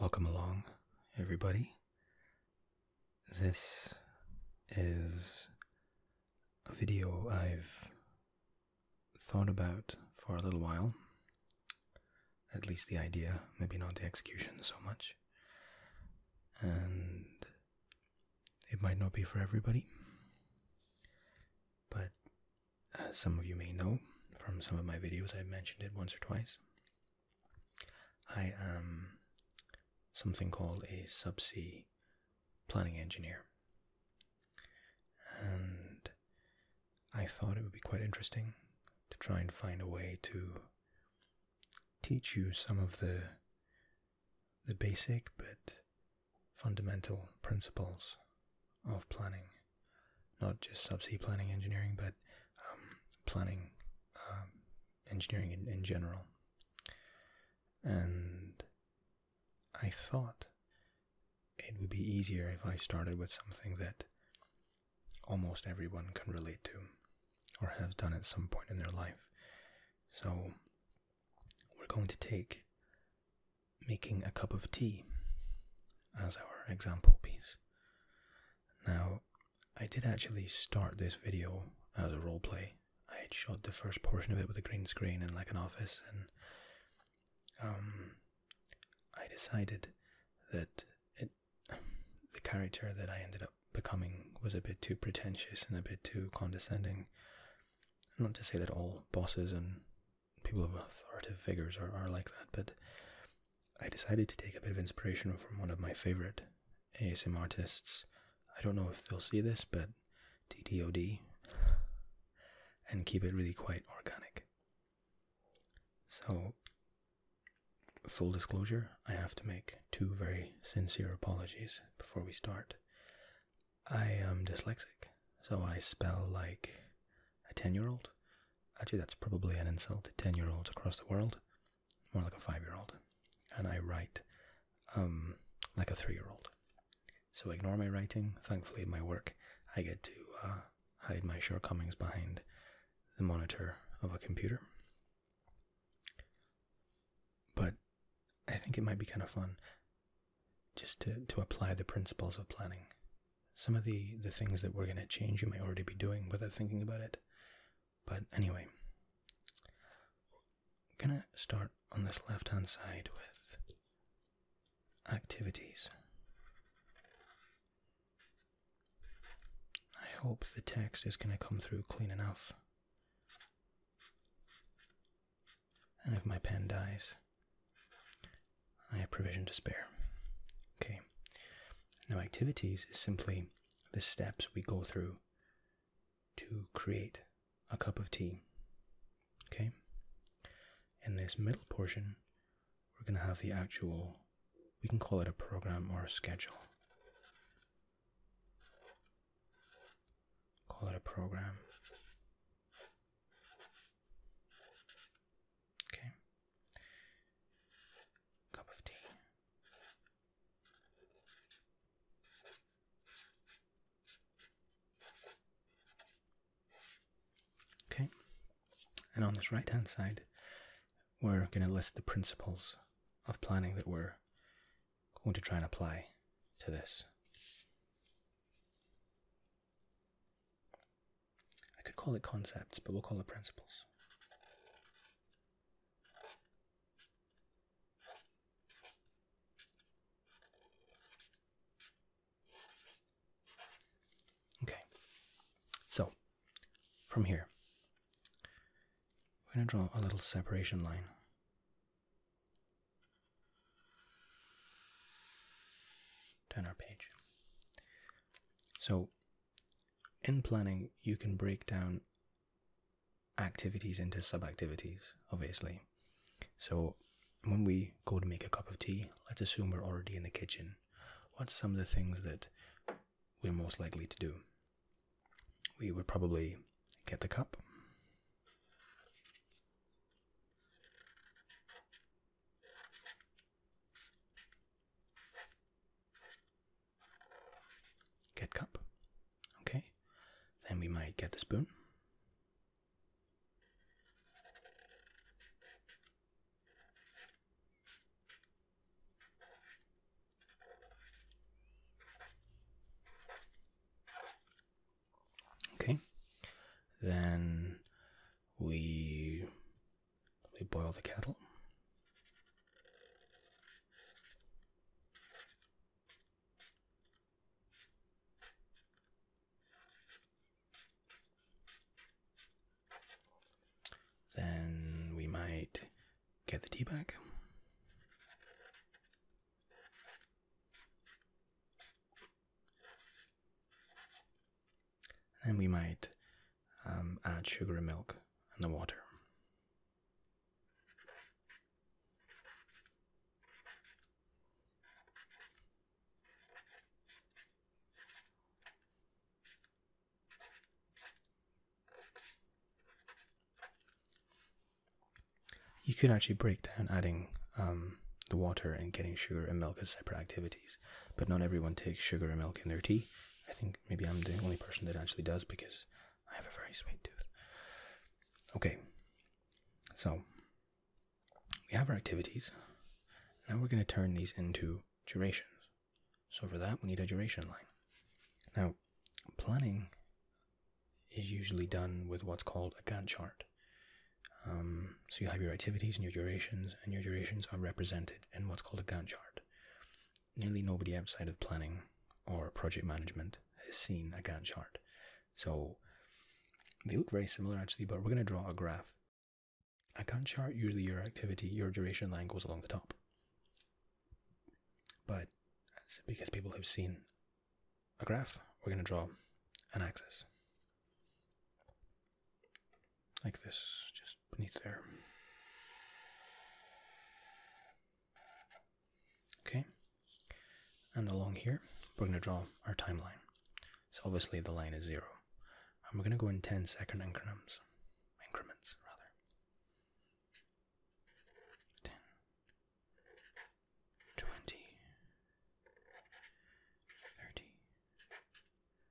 Welcome along, everybody. This is a video I've thought about for a little while. At least the idea, maybe not the execution so much. And it might not be for everybody, but as some of you may know from some of my videos, I've mentioned it once or twice. I am something called a subsea planning engineer. And I thought it would be quite interesting to try and find a way to teach you some of the the basic but fundamental principles of planning not just subsea planning engineering, but um, planning um, engineering in, in general. And I thought it would be easier if I started with something that almost everyone can relate to or have done at some point in their life. So we're going to take making a cup of tea as our example piece. Now, I did actually start this video as a role play. I had shot the first portion of it with a green screen in like an office, and um, I decided that it, the character that I ended up becoming was a bit too pretentious and a bit too condescending. Not to say that all bosses and people of authoritative figures are, are like that, but I decided to take a bit of inspiration from one of my favorite ASM artists. I don't know if they'll see this, but TDOD, and keep it really quite organic. So, full disclosure, I have to make two very sincere apologies before we start. I am dyslexic, so I spell like a 10 year old, Actually, that's probably an insult to 10 year olds across the world, more like a 5 year old. And I write um, like a 3 year old. So ignore my writing. Thankfully, my work, I get to uh, hide my shortcomings behind the monitor of a computer. But I think it might be kind of fun just to, to apply the principles of planning some of the the things that we're going to change you may already be doing without thinking about it but anyway i'm going to start on this left hand side with activities i hope the text is going to come through clean enough and if my pen dies I have provision to spare. Okay. Now, activities is simply the steps we go through to create a cup of tea. Okay. In this middle portion, we're going to have the actual, we can call it a program or a schedule. Call it a program. Okay. Cup of tea. Okay. And on this right hand side, we're going to list the principles of planning that we're going to try and apply to this. I could call it concepts, but we'll call it principles. Okay, so from here, we're going to draw a little separation line turn our page. So, in planning, you can break down activities into sub-activities, obviously. So, when we go to make a cup of tea, let's assume we're already in the kitchen. What's some of the things that we're most likely to do? We would probably get the cup. Get cup. Okay. Then we might get the spoon. Okay. Then we they boil the kettle. Then we might get the tea back. And we might um, add sugar and milk and the water. You could actually break down adding um, the water and getting sugar and milk as separate activities but not everyone takes sugar and milk in their tea. I think maybe I'm the only person that actually does because I have a very sweet tooth. Okay, so we have our activities. Now we're going to turn these into durations. So for that, we need a duration line. Now, planning is usually done with what's called a Gantt chart. Um, so you have your activities and your durations, and your durations are represented and what's called a Gantt chart. Nearly nobody outside of planning or project management has seen a Gantt chart. So they look very similar actually, but we're going to draw a graph. A Gantt chart, usually your activity, your duration line goes along the top. But because people have seen a graph, we're going to draw an axis like this, just beneath there. Okay, and along here, we're going to draw our timeline. So obviously the line is zero, and we're going to go in 10 second increments, increments rather. 10,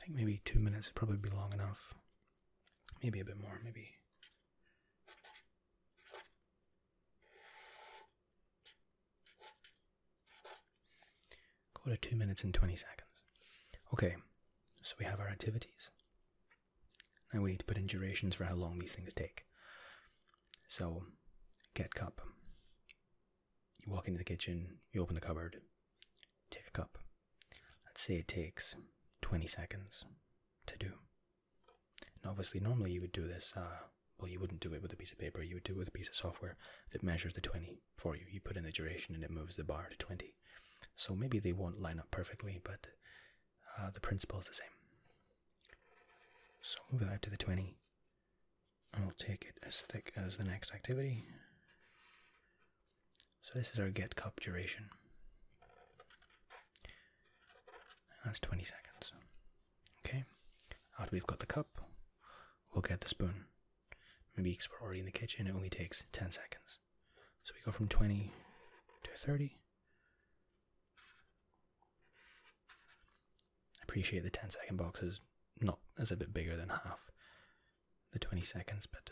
I think maybe two minutes would probably be long enough. Maybe a bit more, maybe. quarter two minutes and 20 seconds. Okay, so we have our activities. Now we need to put in durations for how long these things take. So, get cup. You walk into the kitchen, you open the cupboard, take a cup. Let's say it takes 20 seconds to do. And obviously, normally you would do this, uh, well, you wouldn't do it with a piece of paper, you would do it with a piece of software that measures the 20 for you. You put in the duration and it moves the bar to 20. So maybe they won't line up perfectly, but uh, the principle is the same. So move that to the 20, and we will take it as thick as the next activity. So this is our get cup duration. That's 20 seconds. Okay, after we've got the cup, we'll get the spoon. Maybe because we're already in the kitchen, it only takes 10 seconds. So we go from 20 to 30. Appreciate the 10 second box is not, as a bit bigger than half the 20 seconds, but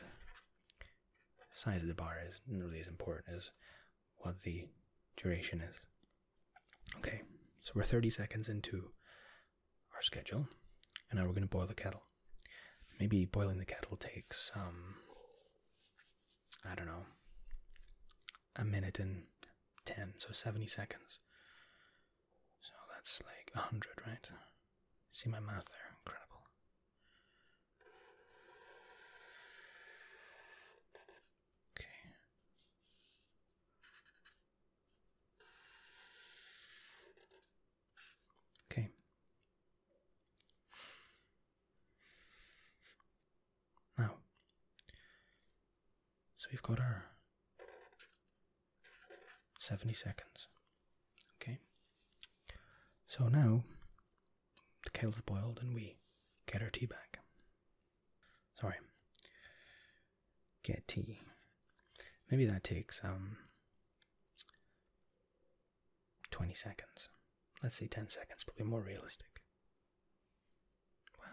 size of the bar is really as important as what the duration is. Okay, so we're 30 seconds into our schedule, and now we're going to boil the kettle. Maybe boiling the kettle takes, um, I don't know, a minute and 10, so 70 seconds. So that's like a hundred, right? See my math there, incredible. Okay. Okay. Now, so we've got our 70 seconds. Okay? So now the kettle's boiled and we get our tea back. Sorry. Get tea. Maybe that takes um, 20 seconds. Let's say 10 seconds, probably more realistic.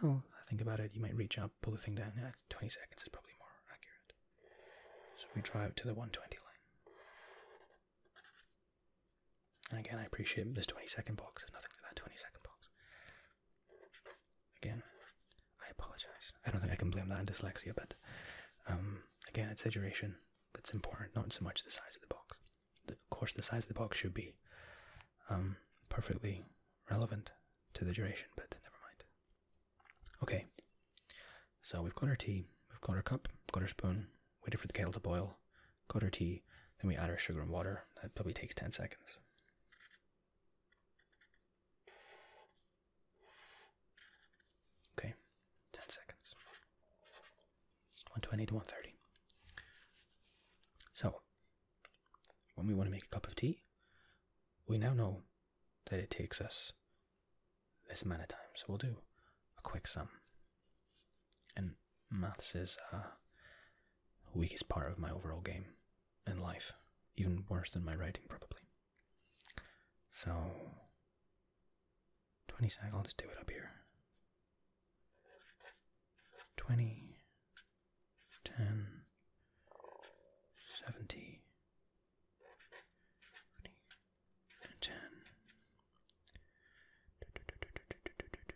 Well, I think about it, you might reach up, pull the thing down. Yeah, 20 seconds is probably more accurate. So we drive up to the 120 line. And again, I appreciate this 20 second box. There's nothing like that 20 second box. Again, I apologize. I don't think I can blame that on dyslexia, but um, again, it's the duration that's important, not so much the size of the box. of course, the size of the box should be um, perfectly relevant to the duration, but never mind. Okay, so we've got our tea, we've got our cup, got our spoon, waited for the kettle to boil, got our tea, then we add our sugar and water. That probably takes 10 seconds. Okay, 10 seconds. 120 to 130. So, when we want to make a cup of tea, we now know that it takes us this amount of time. So we'll do a quick sum. And maths is uh, the weakest part of my overall game in life, even worse than my writing, probably. So, 20 seconds i do it up here. 20, 10, 70, Honey. And ten. Do, do,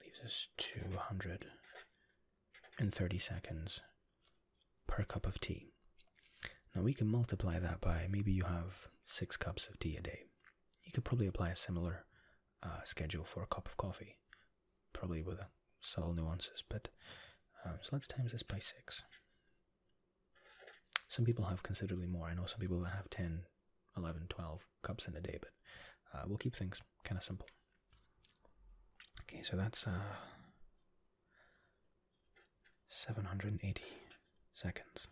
Leaves us two hundred and thirty seconds per cup of tea. Now we can multiply that by maybe you have six cups of tea a day. You could probably apply a similar uh, schedule for a cup of coffee, probably with a subtle nuances, but um, so let's times this by 6. Some people have considerably more. I know some people that have 10, 11, 12 cups in a day, but uh, we'll keep things kind of simple. Okay, so that's uh, 780 seconds.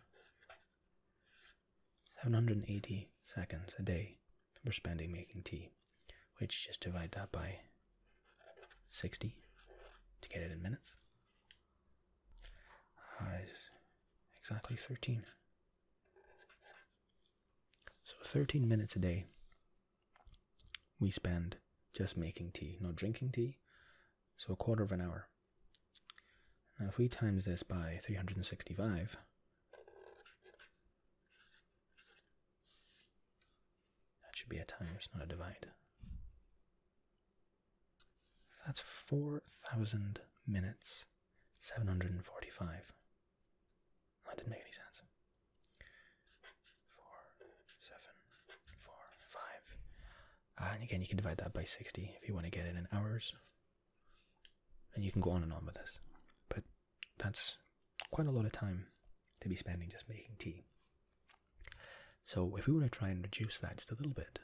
780 seconds a day we're spending making tea, which just divide that by 60 to get it in minutes. Uh, exactly 13. So 13 minutes a day we spend just making tea, not drinking tea. So a quarter of an hour. Now if we times this by 365, that should be a times, not a divide. that's 4,000 minutes, 745. That didn't make any sense. 4, uh, and again, you can divide that by 60 if you want to get it in hours. And you can go on and on with this. But that's quite a lot of time to be spending just making tea. So, if we want to try and reduce that just a little bit,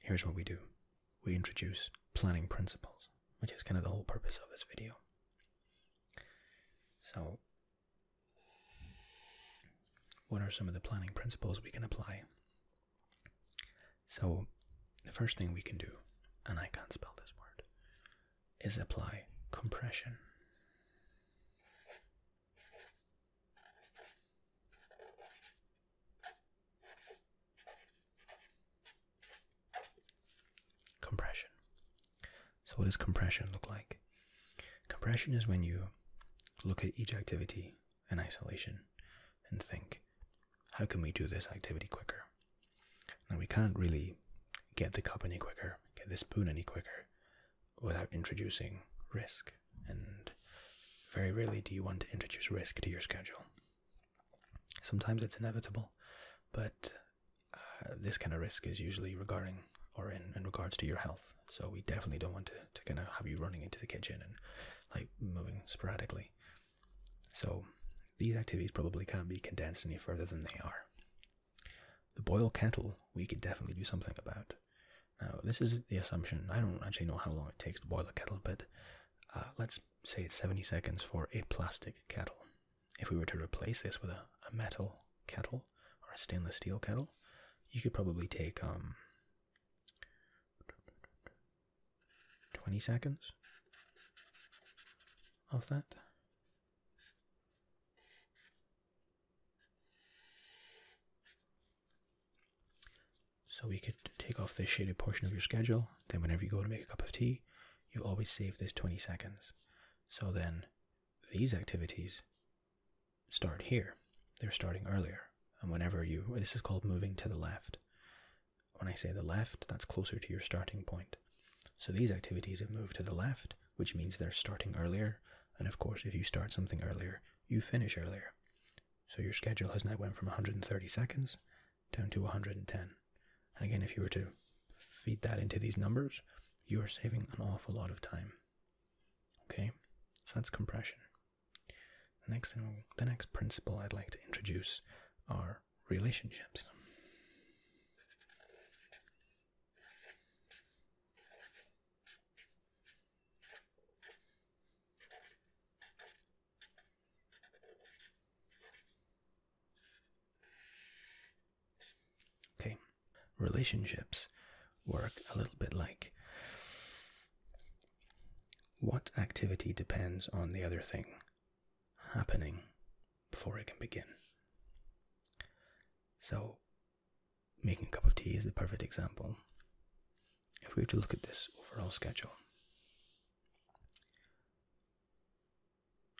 here's what we do we introduce planning principles, which is kind of the whole purpose of this video. So, what are some of the planning principles we can apply? So, the first thing we can do, and I can't spell this word, is apply compression. Compression. So, what does compression look like? Compression is when you look at each activity in isolation and think, how can we do this activity quicker? Now we can't really get the cup any quicker, get the spoon any quicker, without introducing risk. And very rarely do you want to introduce risk to your schedule. Sometimes it's inevitable, but uh, this kind of risk is usually regarding or in, in regards to your health. So we definitely don't want to, to kind of have you running into the kitchen and like moving sporadically. So these activities probably can't be condensed any further than they are. The boil kettle we could definitely do something about. Now this is the assumption. I don't actually know how long it takes to boil a kettle, but uh, let's say it's 70 seconds for a plastic kettle. If we were to replace this with a, a metal kettle or a stainless steel kettle, you could probably take um 20 seconds of that. So we could take off this shaded portion of your schedule, then whenever you go to make a cup of tea, you will always save this 20 seconds. So then these activities start here. They're starting earlier. And whenever you, this is called moving to the left. When I say the left, that's closer to your starting point. So these activities have moved to the left, which means they're starting earlier. And of course, if you start something earlier, you finish earlier. So your schedule has now went from 130 seconds down to 110. And again, if you were to feed that into these numbers, you are saving an awful lot of time. Okay, so that's compression. next the next principle I'd like to introduce are relationships. Okay, relationships work a little bit like what activity depends on the other thing happening before it can begin. So, making a cup of tea is the perfect example. If we were to look at this overall schedule,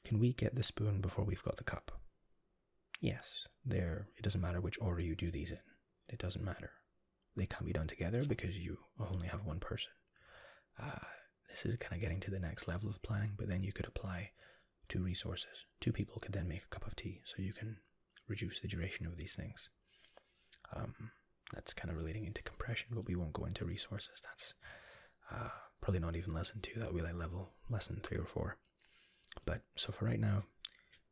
can we get the spoon before we've got the cup? Yes, there. It doesn't matter which order you do these in. It doesn't matter. They can't be done together because you only have one person. Uh, this is kind of getting to the next level of planning, but then you could apply two resources. Two people could then make a cup of tea, so you can reduce the duration of these things. Um, that's kind of relating into compression, but we won't go into resources. That's uh, probably not even lesson two. That will be like level lesson three or four. But so for right now,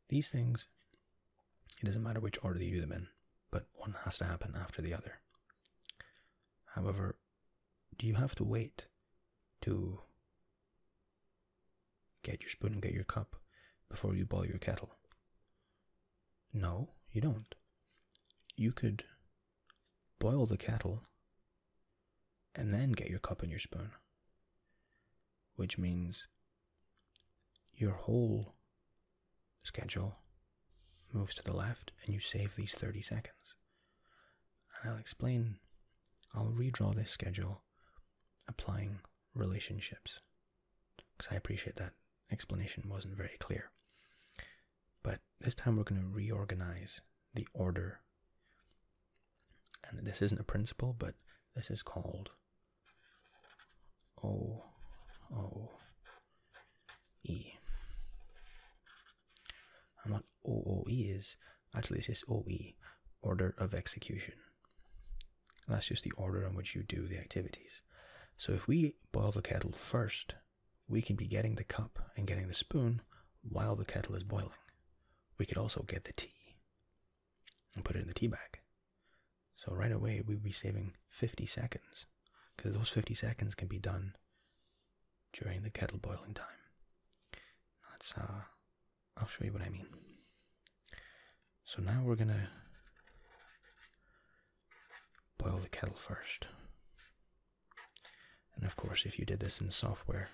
these things, it doesn't matter which order you do them in, but one has to happen after the other. However, do you have to wait to get your spoon and get your cup before you boil your kettle? No, you don't. You could boil the kettle and then get your cup and your spoon, which means your whole schedule moves to the left, and you save these 30 seconds. And I'll explain, I'll redraw this schedule applying relationships, because I appreciate that explanation wasn't very clear. But this time we're going to reorganize the order. And this isn't a principle, but this is called O O E. And what OOE is, actually it's just OE, Order of Execution. That's just the order in which you do the activities. So if we boil the kettle first, we can be getting the cup and getting the spoon while the kettle is boiling. We could also get the tea and put it in the tea bag. So right away, we'd be saving 50 seconds because those 50 seconds can be done during the kettle boiling time. That's uh, I'll show you what I mean. So now we're gonna boil the kettle first. And of course, if you did this in software,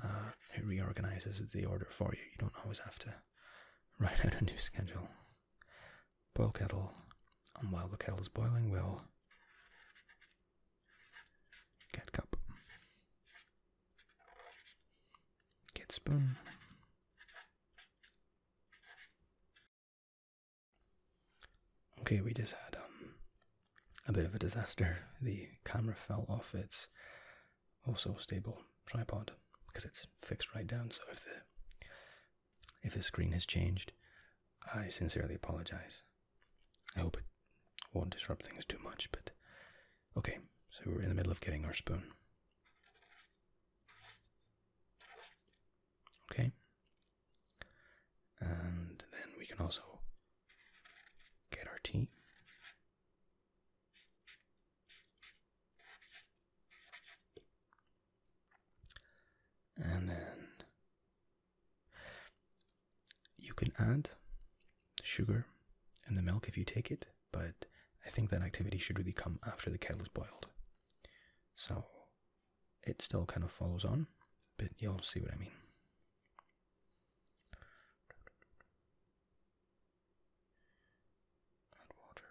uh, it reorganizes the order for you. You don't always have to write out a new schedule. Boil kettle, and while the kettle is boiling, we'll Get cup. Get spoon. Okay, we just had um a bit of a disaster. The camera fell off its also stable tripod because it's fixed right down. So if the if the screen has changed, I sincerely apologize. I hope it won't disrupt things too much, but okay, so we're in the middle of getting our spoon. Okay, and then we can also get our tea. And then you can add sugar in the milk if you take it, but I think that activity should really come after the kale is boiled. So it still kind of follows on, but you'll see what I mean. Add water.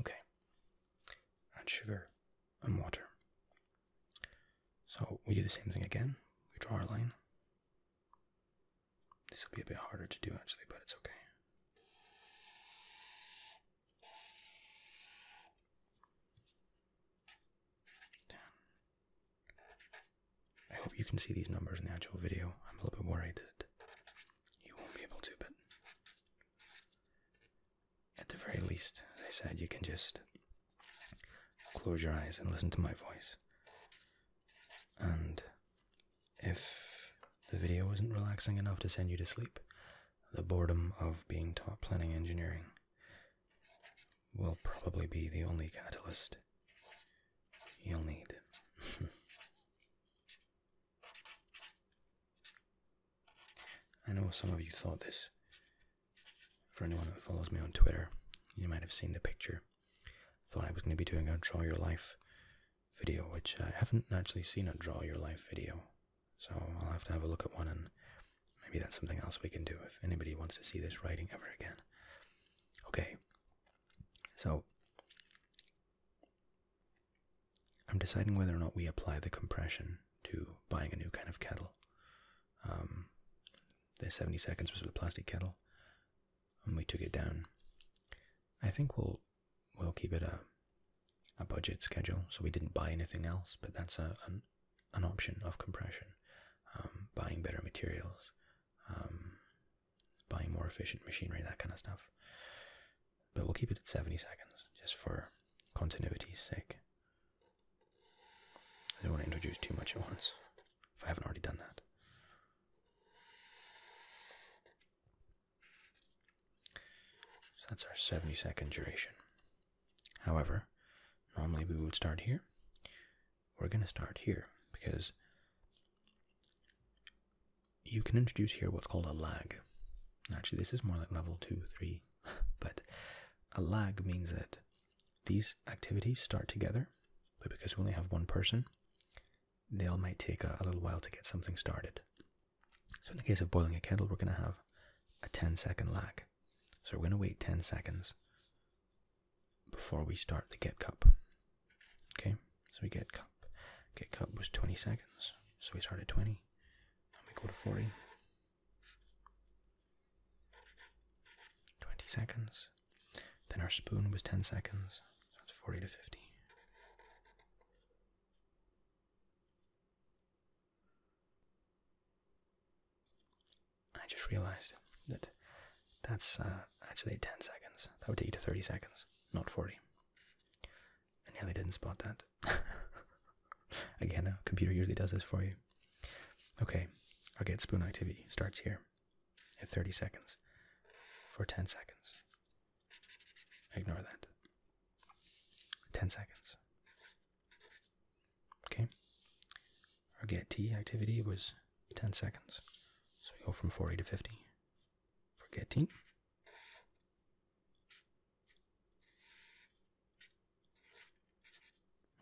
Okay, add sugar and water. So we do the same thing again. We draw our line. This will be a bit harder to do actually, but it's okay. I hope you can see these numbers in the actual video. I'm a little bit worried that you won't be able to, but at the very least, as I said, you can just close your eyes and listen to my voice. And if the video isn't relaxing enough to send you to sleep, the boredom of being taught planning engineering will probably be the only catalyst you'll need. I know some of you thought this. For anyone that follows me on Twitter, you might have seen the picture. Thought I was going to be doing a draw your life video, which I haven't actually seen a Draw Your Life video. So I'll have to have a look at one, and maybe that's something else we can do if anybody wants to see this writing ever again. Okay, so I'm deciding whether or not we apply the compression to buying a new kind of kettle. Um, the 70 seconds was with a plastic kettle, and we took it down. I think we'll we'll keep it a a budget schedule, so we didn't buy anything else, but that's a an, option of compression. Um, buying better materials, um, buying more efficient machinery, that kind of stuff. But we'll keep it at 70 seconds, just for continuity's sake. I don't want to introduce too much at once, if I haven't already done that. So that's our 70 second duration. However, normally we would start here. We're going to start here because you can introduce here what's called a lag. Actually, this is more like level 2, 3, but a lag means that these activities start together, but because we only have one person, they all might take a, a little while to get something started. So in the case of boiling a kettle, we're going to have a 10 second lag. So we're going to wait 10 seconds before we start the get cup. Okay, so we get cup. Get cup was 20 seconds, so we start at 20, and we go to 40. 20 seconds. Then our spoon was 10 seconds, so it's 40 to 50. I just realized that that's uh, actually 10 seconds. That would take you to 30 seconds, not 40. I nearly didn't spot that. Again, a computer usually does this for you. Okay, our get spoon activity starts here at 30 seconds for 10 seconds. Ignore that. 10 seconds. Okay. Our get T activity was 10 seconds. So we go from 40 to 50 for get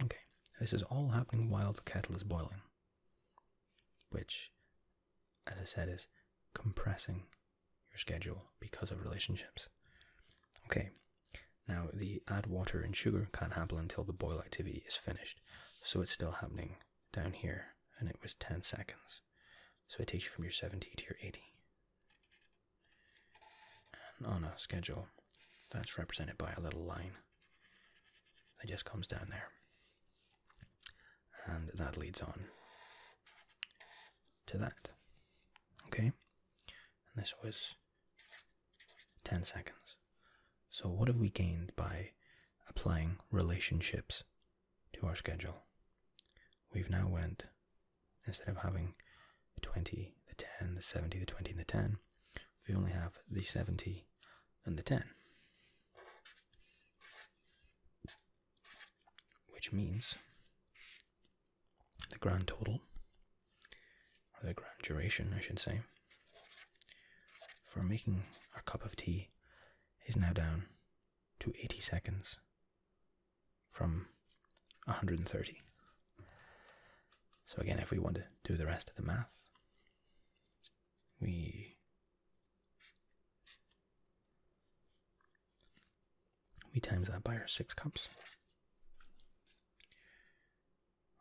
Okay, this is all happening while the kettle is boiling, which as I said, is compressing your schedule because of relationships. Okay, now the add water and sugar can't happen until the boil activity is finished, so it's still happening down here, and it was 10 seconds. So it takes you from your 70 to your 80. And on a schedule, that's represented by a little line that just comes down there. And that leads on to that. Okay? And this was 10 seconds. So, what have we gained by applying relationships to our schedule? We've now went, instead of having the 20, the 10, the 70, the 20, and the 10, we only have the 70 and the 10 which means the grand total, or the grand duration, I should say, for making our cup of tea is now down to 80 seconds from 130. So, again, if we want to do the rest of the math, we we times that by our six cups,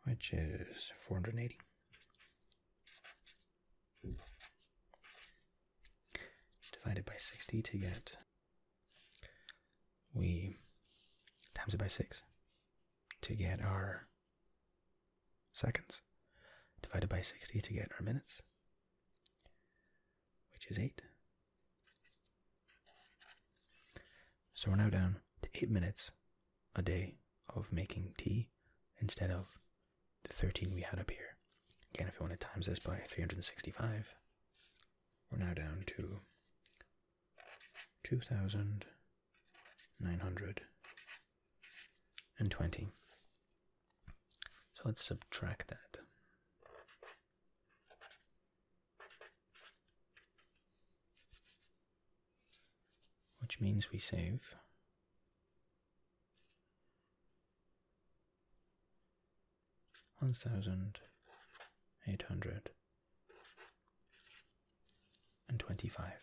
which is 480. Divided by 60 to get, we times it by 6 to get our seconds, divided by 60 to get our minutes, which is 8. So we're now down to eight minutes a day of making tea instead of the 13 we had up here. Again, if you want to times this by 365, we're now down to 2,920. So let's subtract that. Which means we save. One thousand eight hundred and twenty five.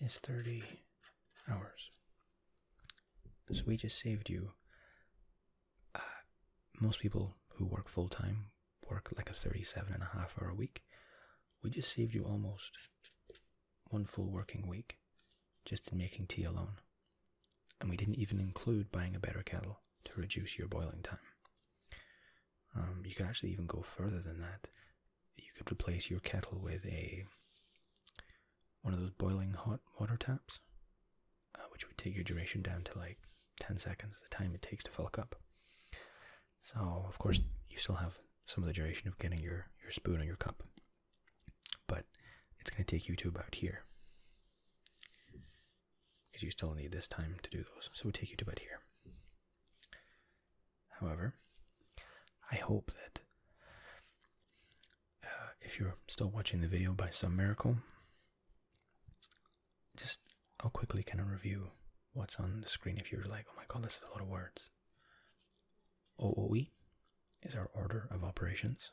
is 30 hours. So we just saved you. Uh, most people who work full time work like a 37 and a half hour week. We just saved you almost one full working week just in making tea alone. And we didn't even include buying a better kettle to reduce your boiling time. Um, you could actually even go further than that you could replace your kettle with a one of those boiling hot water taps, uh, which would take your duration down to like 10 seconds, the time it takes to fill a cup. So, of course, you still have some of the duration of getting your, your spoon or your cup, but it's going to take you to about here because you still need this time to do those. So, it would take you to about here. However, I hope that uh, if you're still watching the video by some miracle, just how quickly can I review what's on the screen if you're like, oh my god, this is a lot of words. OOE is our order of operations.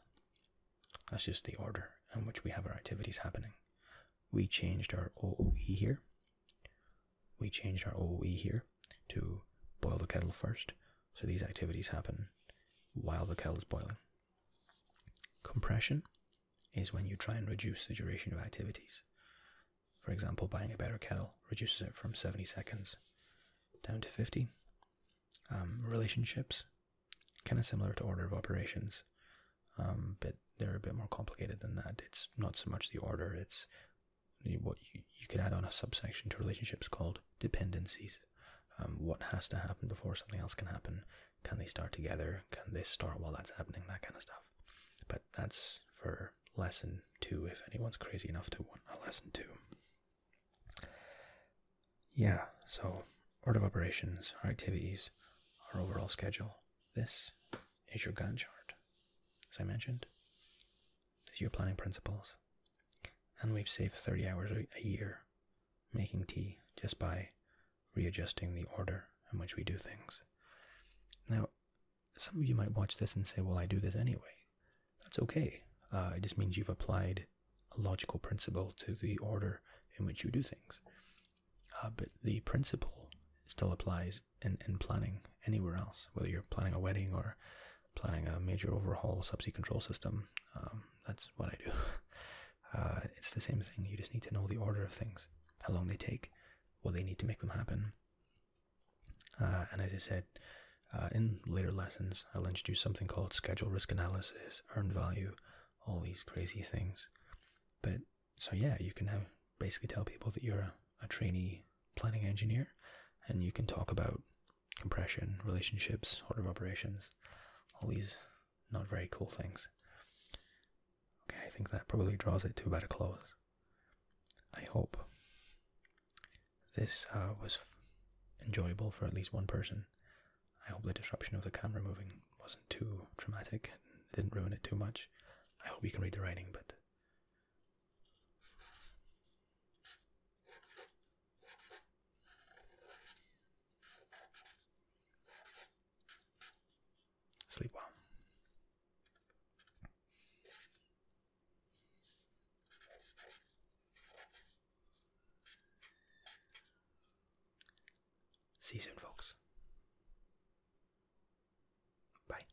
That's just the order in which we have our activities happening. We changed our OOE here we changed our OOE here to boil the kettle first, so these activities happen while the kettle is boiling. Compression is when you try and reduce the duration of activities. For example, buying a better kettle reduces it from 70 seconds down to 50. Um, relationships, kind of similar to order of operations, um, but they're a bit more complicated than that. It's not so much the order, it's what you, you could add on a subsection to relationships called dependencies. Um, what has to happen before something else can happen? Can they start together? Can they start while that's happening? That kind of stuff. But that's for lesson two, if anyone's crazy enough to want a lesson two. Yeah, so order of operations, our activities, our overall schedule. This is your Gantt chart, as I mentioned to your planning principles. And we've saved 30 hours a year making tea just by readjusting the order in which we do things. Now, some of you might watch this and say, well, I do this anyway. That's okay. Uh, it just means you've applied a logical principle to the order in which you do things. Uh, but the principle still applies and, and planning anywhere else, whether you're planning a wedding or planning a major overhaul subsea control system. Um, that's what I do. Uh, it's the same thing. You just need to know the order of things, how long they take, what they need to make them happen. Uh, and as I said, uh, in later lessons, I'll introduce something called schedule risk analysis, earned value, all these crazy things. But so yeah, you can now basically tell people that you're a, trainee planning engineer and you can talk about compression, relationships, order of operations, all these not very cool things. Okay, I think that probably draws it to a a close. I hope this uh, was enjoyable for at least one person. I hope the disruption of the camera moving wasn't too traumatic and didn't ruin it too much. I hope you can read the writing, but Sleep well. See you soon, folks. Bye.